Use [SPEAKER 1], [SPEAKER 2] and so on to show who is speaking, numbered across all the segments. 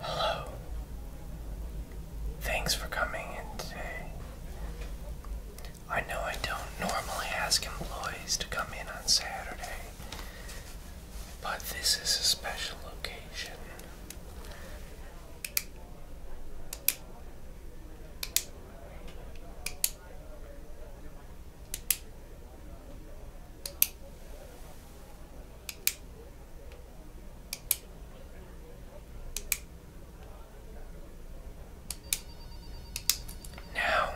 [SPEAKER 1] Hello. Thanks for coming in today. I know I don't normally ask employees to come in on Saturday, but this is a special occasion. Now,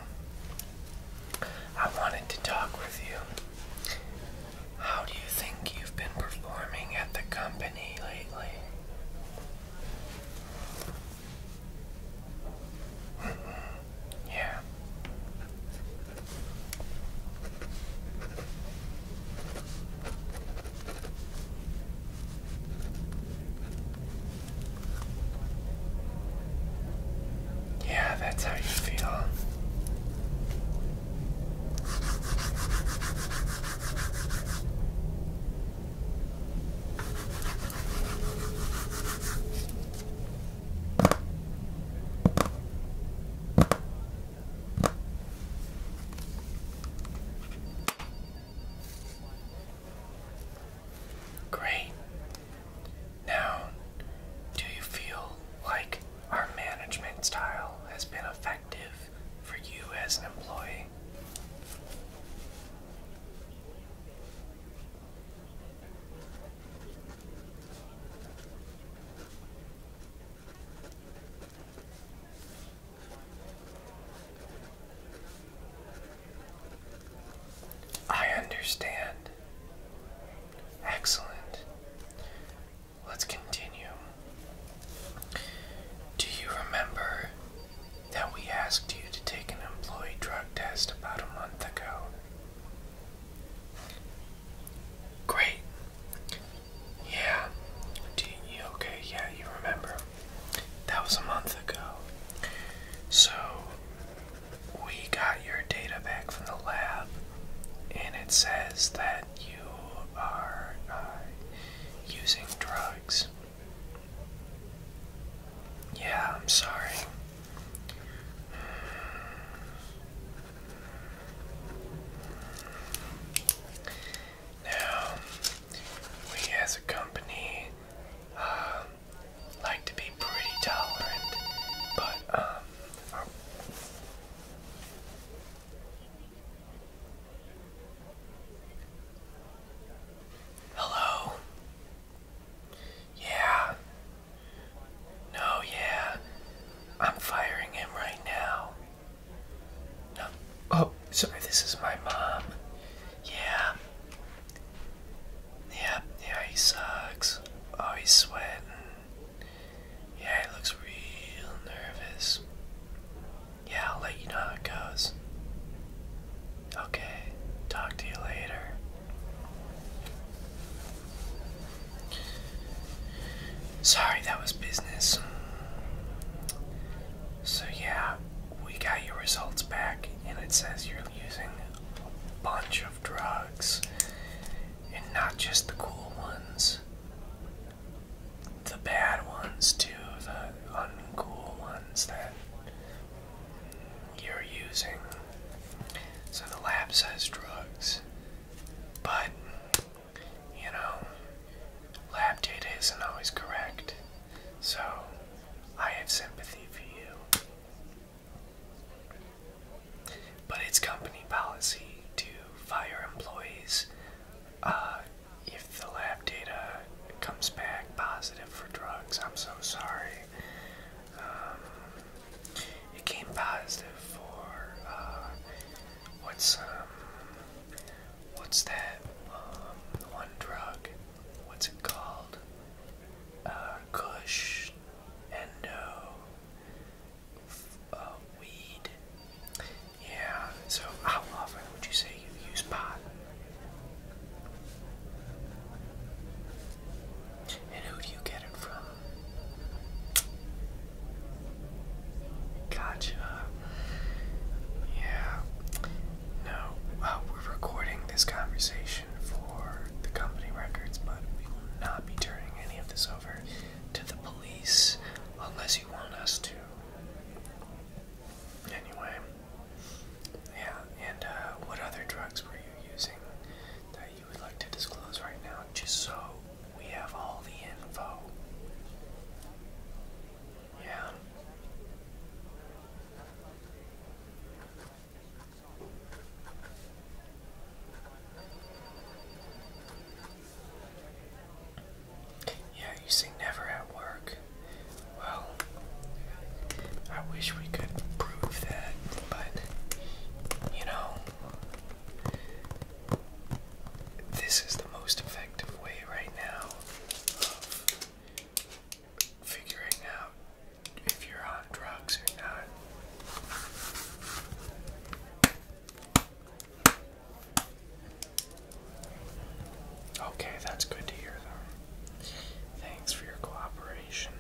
[SPEAKER 1] I wanted to talk with you. How do you think you've been performing at the company lately? Mm-hmm yeah. Yeah, that's how you feel. Great. Now, do you feel like our management style has been effective for you as an employee? I understand. Excellent. Let's continue. Do you remember that we asked you to take an employee drug test about a month ago? Great. Yeah. Do you, okay, yeah, you remember. That was a month ago. So, we got your data back from the lab, and it says that you are uh, using drugs. Yeah, I'm sorry. Now, we as a company uh, like to be pretty tolerant, but um, Hello. Yeah. No, yeah. I'm firing him right now. Oh, sorry, this is my mom. Yeah. Yeah, yeah, he sucks. Oh, he's sweating. Yeah, he looks real nervous. Yeah, I'll let you know how it goes. Okay, talk to you later. Sorry, that was business. So, yeah, we got your results back, and it says you're using a bunch of drugs, and not just the cool ones, the bad ones, too, the uncool ones that you're using. So the lab says drugs, but you know, lab data isn't always correct. So I have sympathy for you. But it's company policy to fire employees uh, if the lab data comes back positive for drugs, I'm so sorry. Um, it came positive for uh, what's um, what's that um, one drug? What's it called? Uh, Kush, Endo, uh, Weed. Yeah, so how often would you say you use pot? And who do you get it from? Gotcha. Yeah. No, we're recording this conversation for the company records, but we will not be turning any of this over to the police unless you want us to. Anyway, yeah, and uh, what other drugs were you using that you would like to disclose right now, just so we have all the info? Yeah. Yeah, you say never at work. Well, I wish we could prove that, but you know, this is the most effective way right now of figuring out if you're on drugs or not. Okay, that's good to hear, Thanks for your cooperation.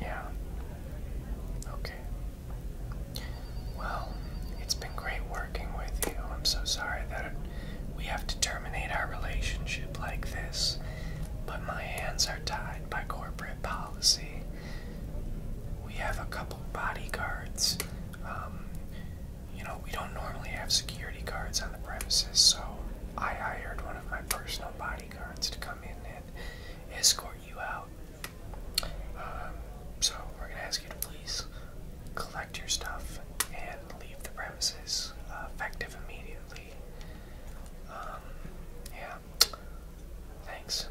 [SPEAKER 1] Yeah. Okay. Well, it's been great working with you. I'm so sorry that we have to terminate our relationship like this, but my hands are tied by corporate policy. We have a couple bodyguards. Um, you know, we don't normally have security guards on the premises, so I hired one of my personal bodyguards to come in and escort you out. Um, so we're gonna ask you to please collect your stuff and leave the premises uh, effective immediately. Um, yeah. Thanks.